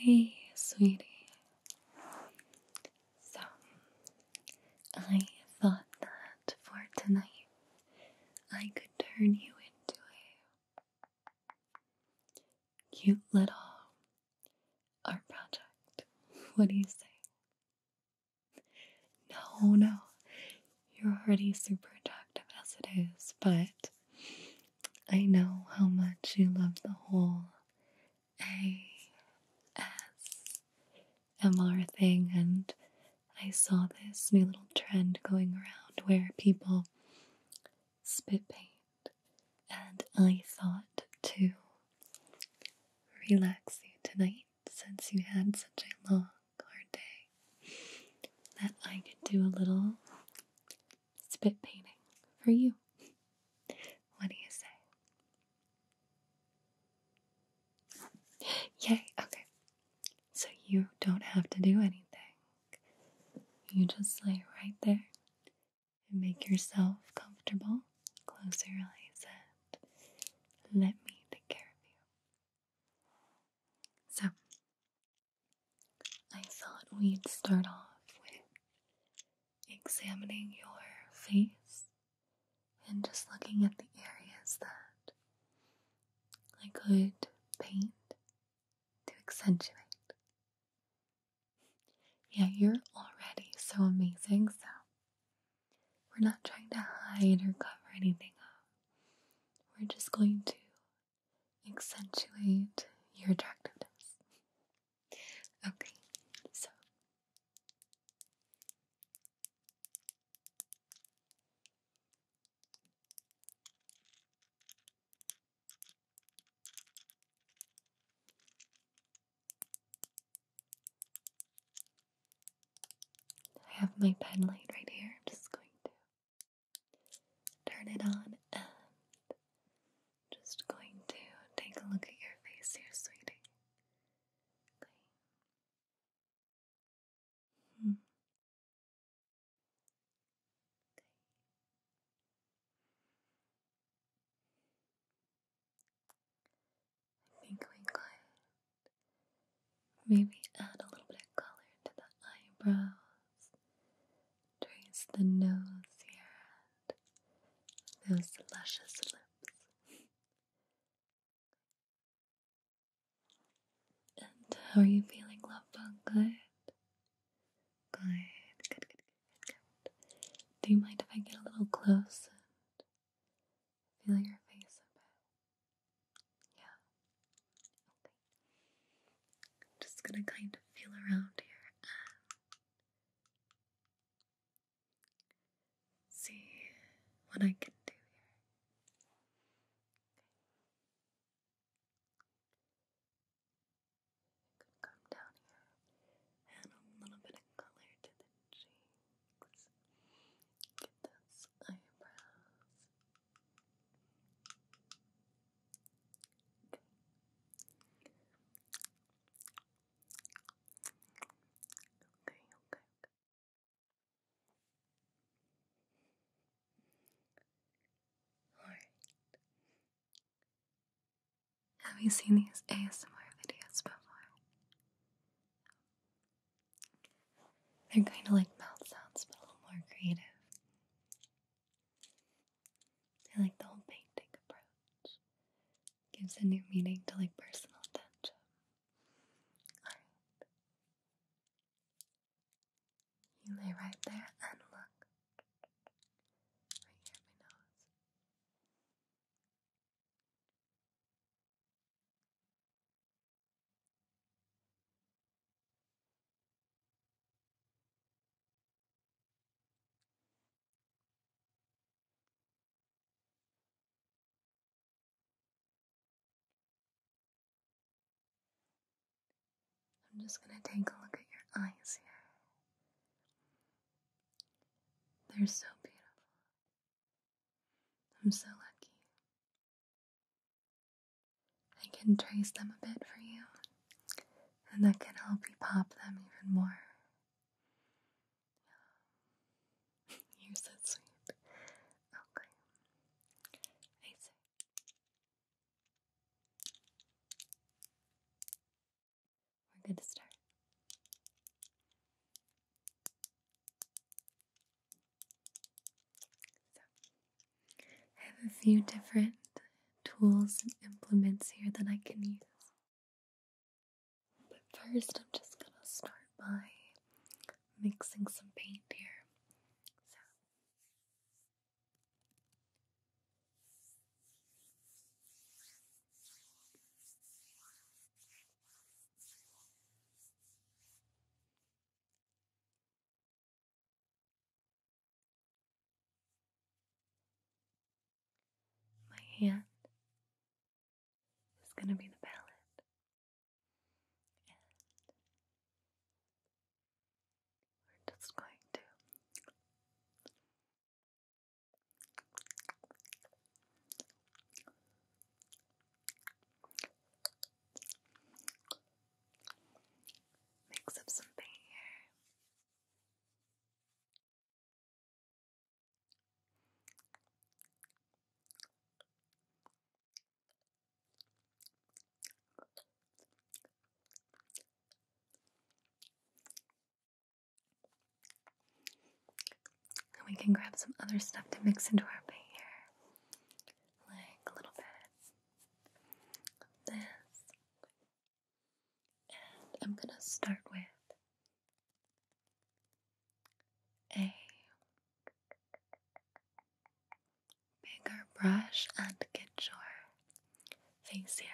Hey, sweetie. So, I thought that for tonight I could turn you into a Cute little art project. What do you say? No, no. You're already super attractive as it is, but I know how much you love the whole ASMR thing, and I saw this new little trend going around where people spit paint, and I thought to relax you tonight since you had such a long, hard day that I could do a little spit painting for you. What do you say? Yay, okay. So you don't have to do anything. You just lay right there and make yourself comfortable. Close your eyes and let me take care of you. So, I thought we'd start off with examining your face and just looking at the areas that I could paint to accentuate. Yeah, you're already so amazing, so we're not trying to hide or cover anything up. We're just going to accentuate your attractiveness. Okay, so I have my pen light right here. I'm just going to turn it on and just going to take a look at your face here, sweetie. Hmm. I think we could maybe add a little bit of color to the eyebrows, trace the nose here, and those luscious lips. And how are you feeling, love bug? Good? Good, good, good, good, good. Do you mind if I get a little close and feel your face a bit? Yeah. Okay. I'm just gonna kind of feel around here see what I can do here. You come down here, add a little bit of color to the cheeks. Get those eyebrows. Okay, okay, okay. Have you seen these ASMR videos before? They're kind of like mouth sounds, but a little more creative. I like the whole painting approach. Gives a new meaning to like personal attention. You lay right there and look. Right here my nose. I'm just going to take a look at your eyes here. They're so beautiful. I'm so lucky. I can trace them a bit for you, and that can help you pop them even more. You're so sweet. Okay. I see. We're good to start. I have a few different tools and implements here that I can use. But first, I'm just gonna start by mixing some paint here. So, my hand is going to be the palette, we're just going to mix up some here. And we can grab some other stuff to mix into our paint here, like a little bit of this. I'm going to start with a bigger brush and get your face here.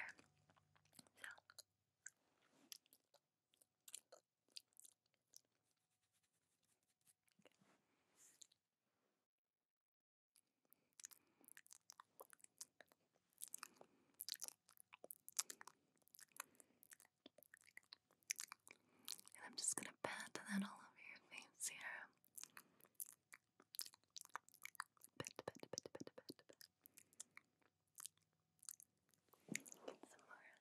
I'm just going to pat that all over your face here. Pet, pet, pet, pet, pet, pet. Get some more.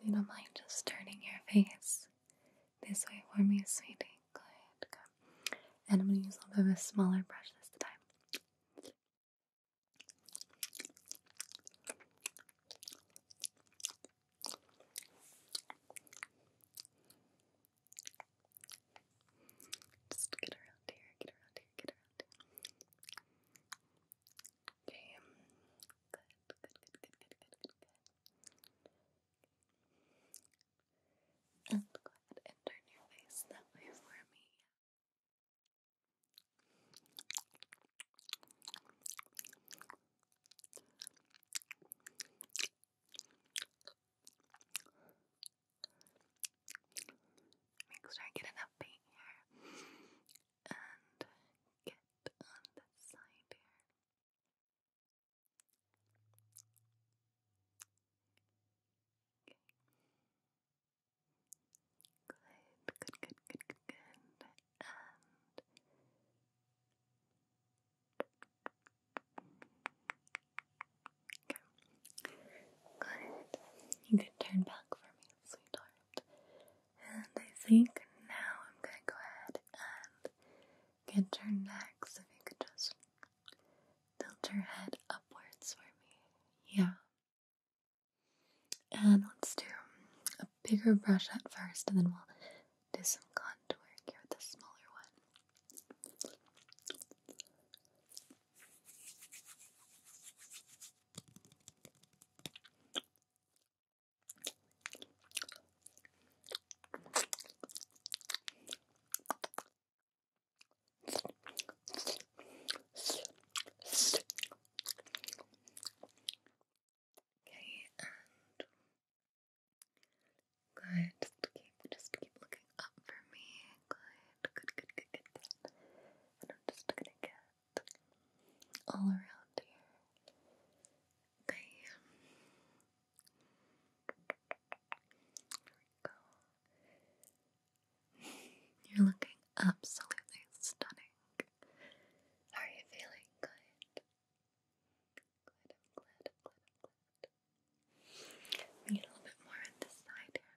If you don't mind just turning your face this way for me, sweetie. Good. Good. And I'm going to use a little bit of a smaller brush this time. Just get around here, get around here, get around here. Okay. Good, good, good, good, good, good, good, good. And go ahead and turn your face that way for me. Make sure I get enough paint here. And get on the side here. Good, good, good, good, good, good. Good. You could turn back for me sweetheart. And I think now I'm going to go ahead and get your neck, so if you could just tilt your head upwards for me. Yeah. And let's do a bigger brush at first, and then we'll do some contouring here with the smaller one. Okay, and good. Just keep, looking up for me. Good good, good, good, good. And I'm just gonna get all around here. There we go. You're looking absolutely stunning. Are you feeling good? need a little bit more on this side here.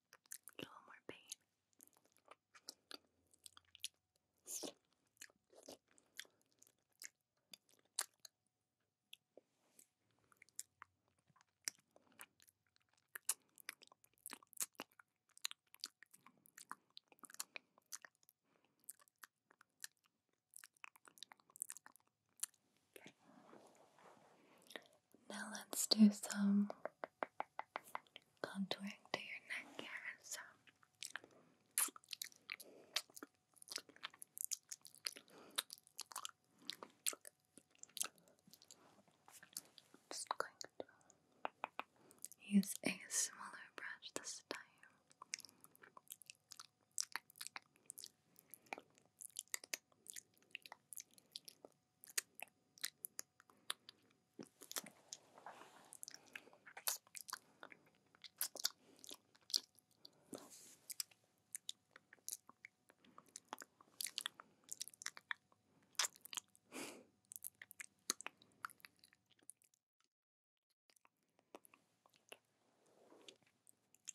a little more pain. Okay. Now let's do some contouring to your neck area. So just going to use a smaller brush this time.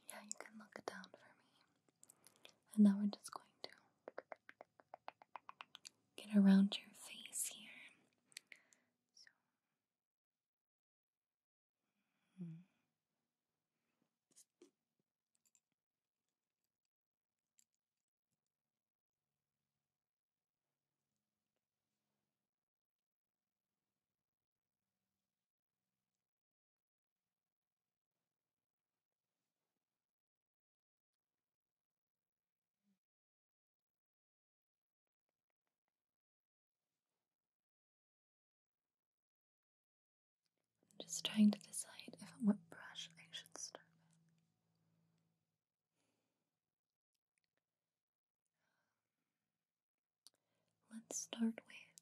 Yeah, you can look down for me. And now we're just going to get around your face here. I'm just trying to decide if what brush I should start with. Let's start with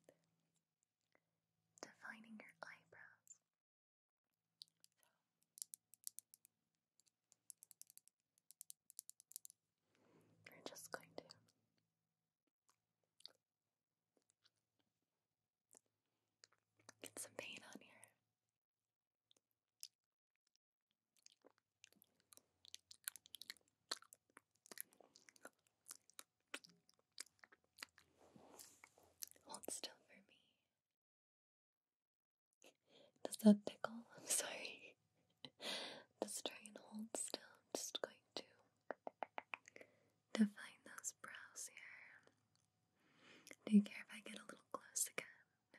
defining your eyebrows. So we're just going to get some paint on here. Hold still for me. Does that tickle? I'm sorry. Just try and hold still. I'm just going to define those brows here. Do you care if I get a little close again? No.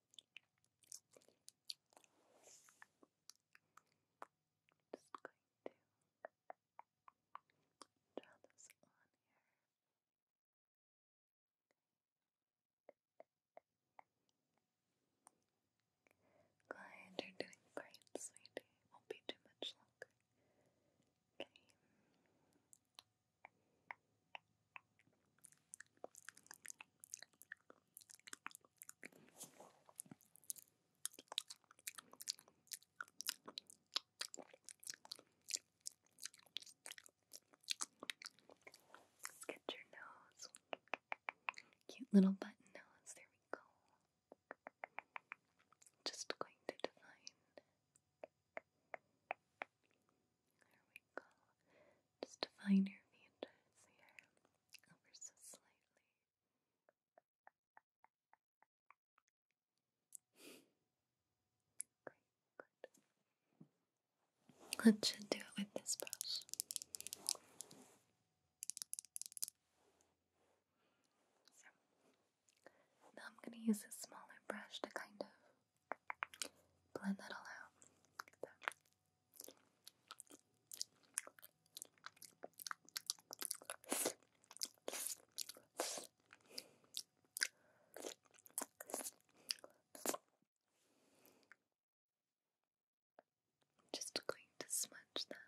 Just going to draw this on here. Glad you're doing great, sweetie. Won't be too much longer. Okay get your nose. Cute little button nose. There we go. Just going to define just define your features here over so slightly. Let's just do it with this brush. now I'm going to use a smaller brush to kind of Blend that all out. just going to smudge that.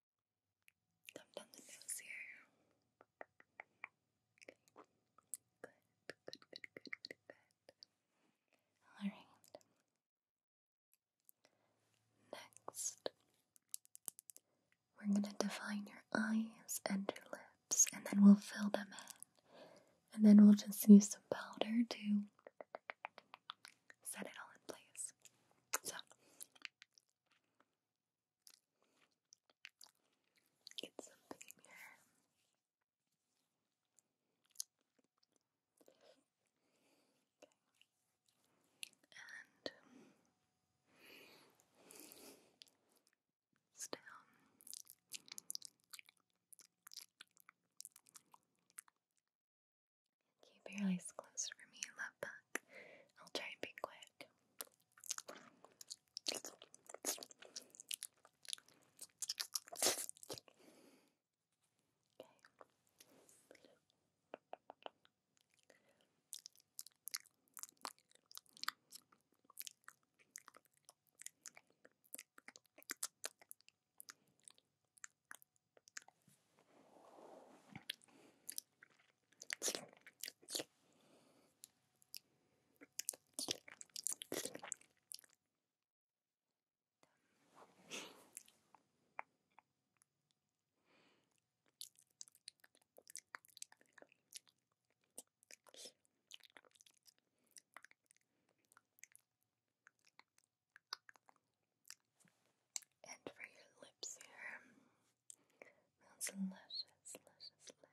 Alright. Next, we're going to define your eyes and your lips, and then we'll fill them in. And then we'll just use some powder to set it all in place. So, it's something here, And still. Keep your eyes closed for me, love bug. I'll try and be quiet. Okay. And for your lips here, those luscious, luscious lips.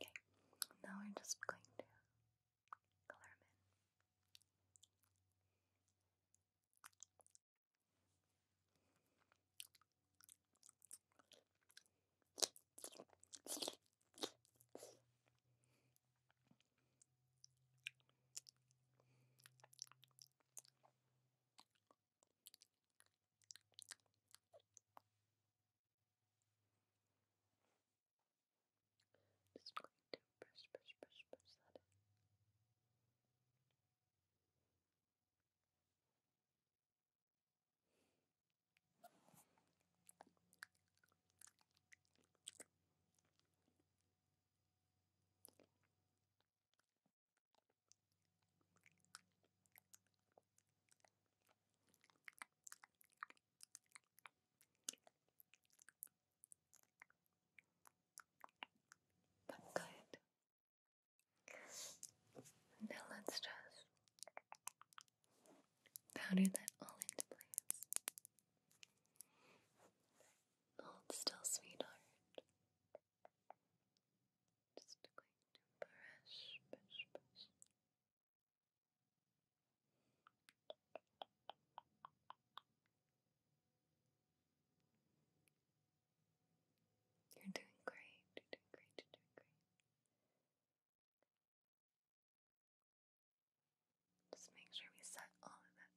Okay, now we're just going to color them in. Just going to brush, brush, brush, brush that in. But good. Now let's just powder that all into place. Hold still, sweetheart. Just going to brush, brush, brush. You're doing great, you're doing great, you're doing great. Just make sure we set all of that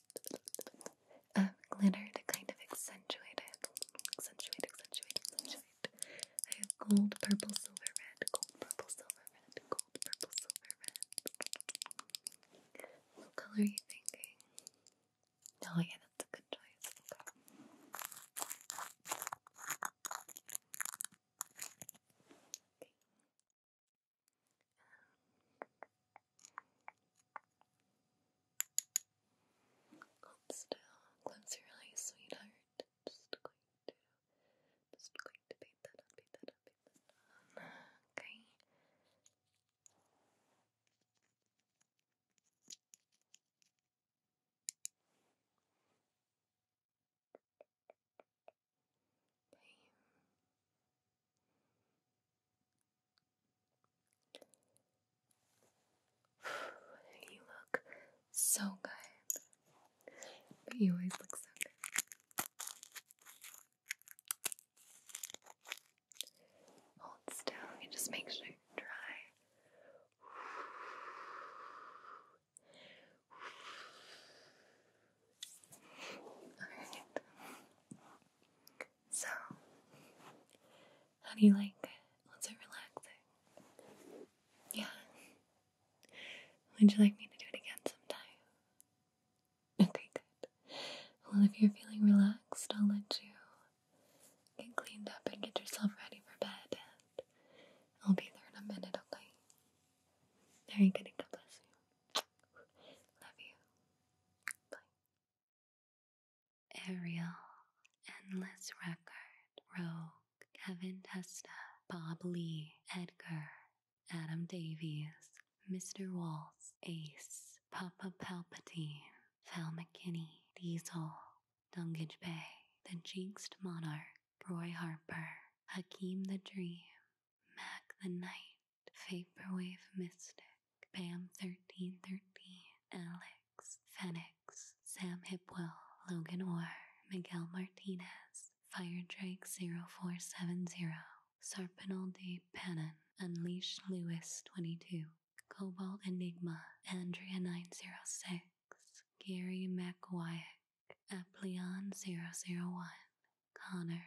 Uh, glitter to kind of accentuate it. Accentuate, accentuate, I have gold, purple, silver, red, gold, purple, silver, red, gold, purple, silver, red. What color are you thinking? Oh yeah, that's a good choice. Hold still, close your eyes, sweetheart. Just going to, just going to beat that up, beat that up, beat that up. Okay. you look so good. you always look so good. Hold still and just make sure you're dry. So, how do you like it? Was it relaxing? Yeah. Would you like me to do it again sometime? Okay, good. Well, if you're feeling relaxed, I'll let you get cleaned up and get yourself ready for bed. And I'll be there in a minute, okay? There you go, God bless you. Ariel, Endless Record, Rogue, Kevin Testa, Bob Lee, Edgar, Adam Davies, Mr. Waltz, Ace, Papa Palpatine, Val McKinney, Diesel, Dungage Bay, The Jinxed Monarch, Roy Harper, Hakeem the Dream, Mac the Knight, Vaporwave Mystic, Pam 1313, Alex, Fenix, Sam Hipwell, Logan Orr, Miguel Martinez, Fire Drake 0470, Sarpinal de Pennon, Unleash Lewis 22, Cobalt Enigma, Andrea 906, Gary McWyack, Apleon 001, Connor,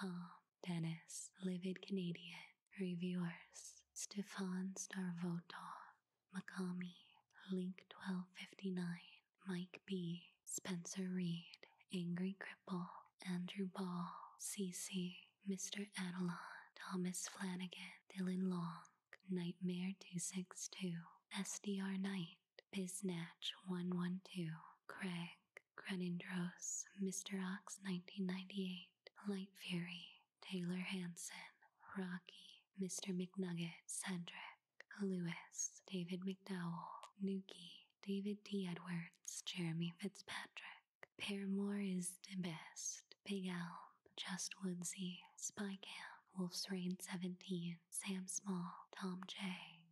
Tom Dennis, Livid Canadian, Reviewers, Stefan Starvotov, Macami, Link1259, Mike B, Spencer Reed, Angry Cripple, Andrew Ball, CC, Mr. Adelon, Thomas Flanagan, Dylan Long, Nightmare262, SDR Knight, Biznatch112, Craig, Crenindros, Mr. Ox 1998, Light Fury, Taylor Hanson, Rocky, Mr. McNugget, Cedric, Lewis, David McDowell, Nuki, David T. Edwards, Jeremy Fitzpatrick, Paramore is the best, Big Elm, Just Woodsy, Spy Camp, Wolf's Rain 17, Sam Small, Tom J.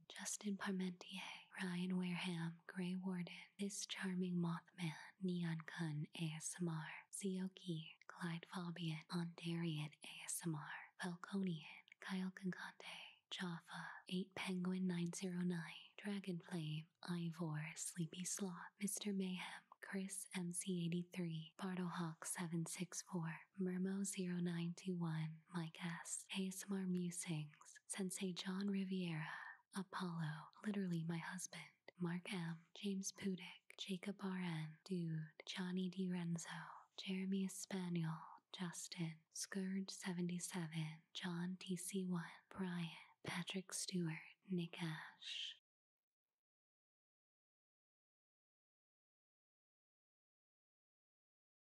Justin Parmentier, Ryan Wareham, Gray Warden, This Charming Mothman, Neon Kun ASMR, Sioki, Clyde Fabian, Ondarian ASMR, Falconian, Kyle Concante, Jaffa, 8 Penguin 909, Dragonflame, Ivor, Sleepy Sloth, Mr. Mayhem, Chris MC83, Hawk 764 Mermo0921, my guest, ASMR Musings, Sensei John Riviera, Apollo, literally my husband, Mark M, James Pudick, Jacob RN, Dude, Johnny D. Renzo. Jeremy Espanol, Justin, Scourge77, John TC1, Brian, Patrick Stewart, Nick Ash.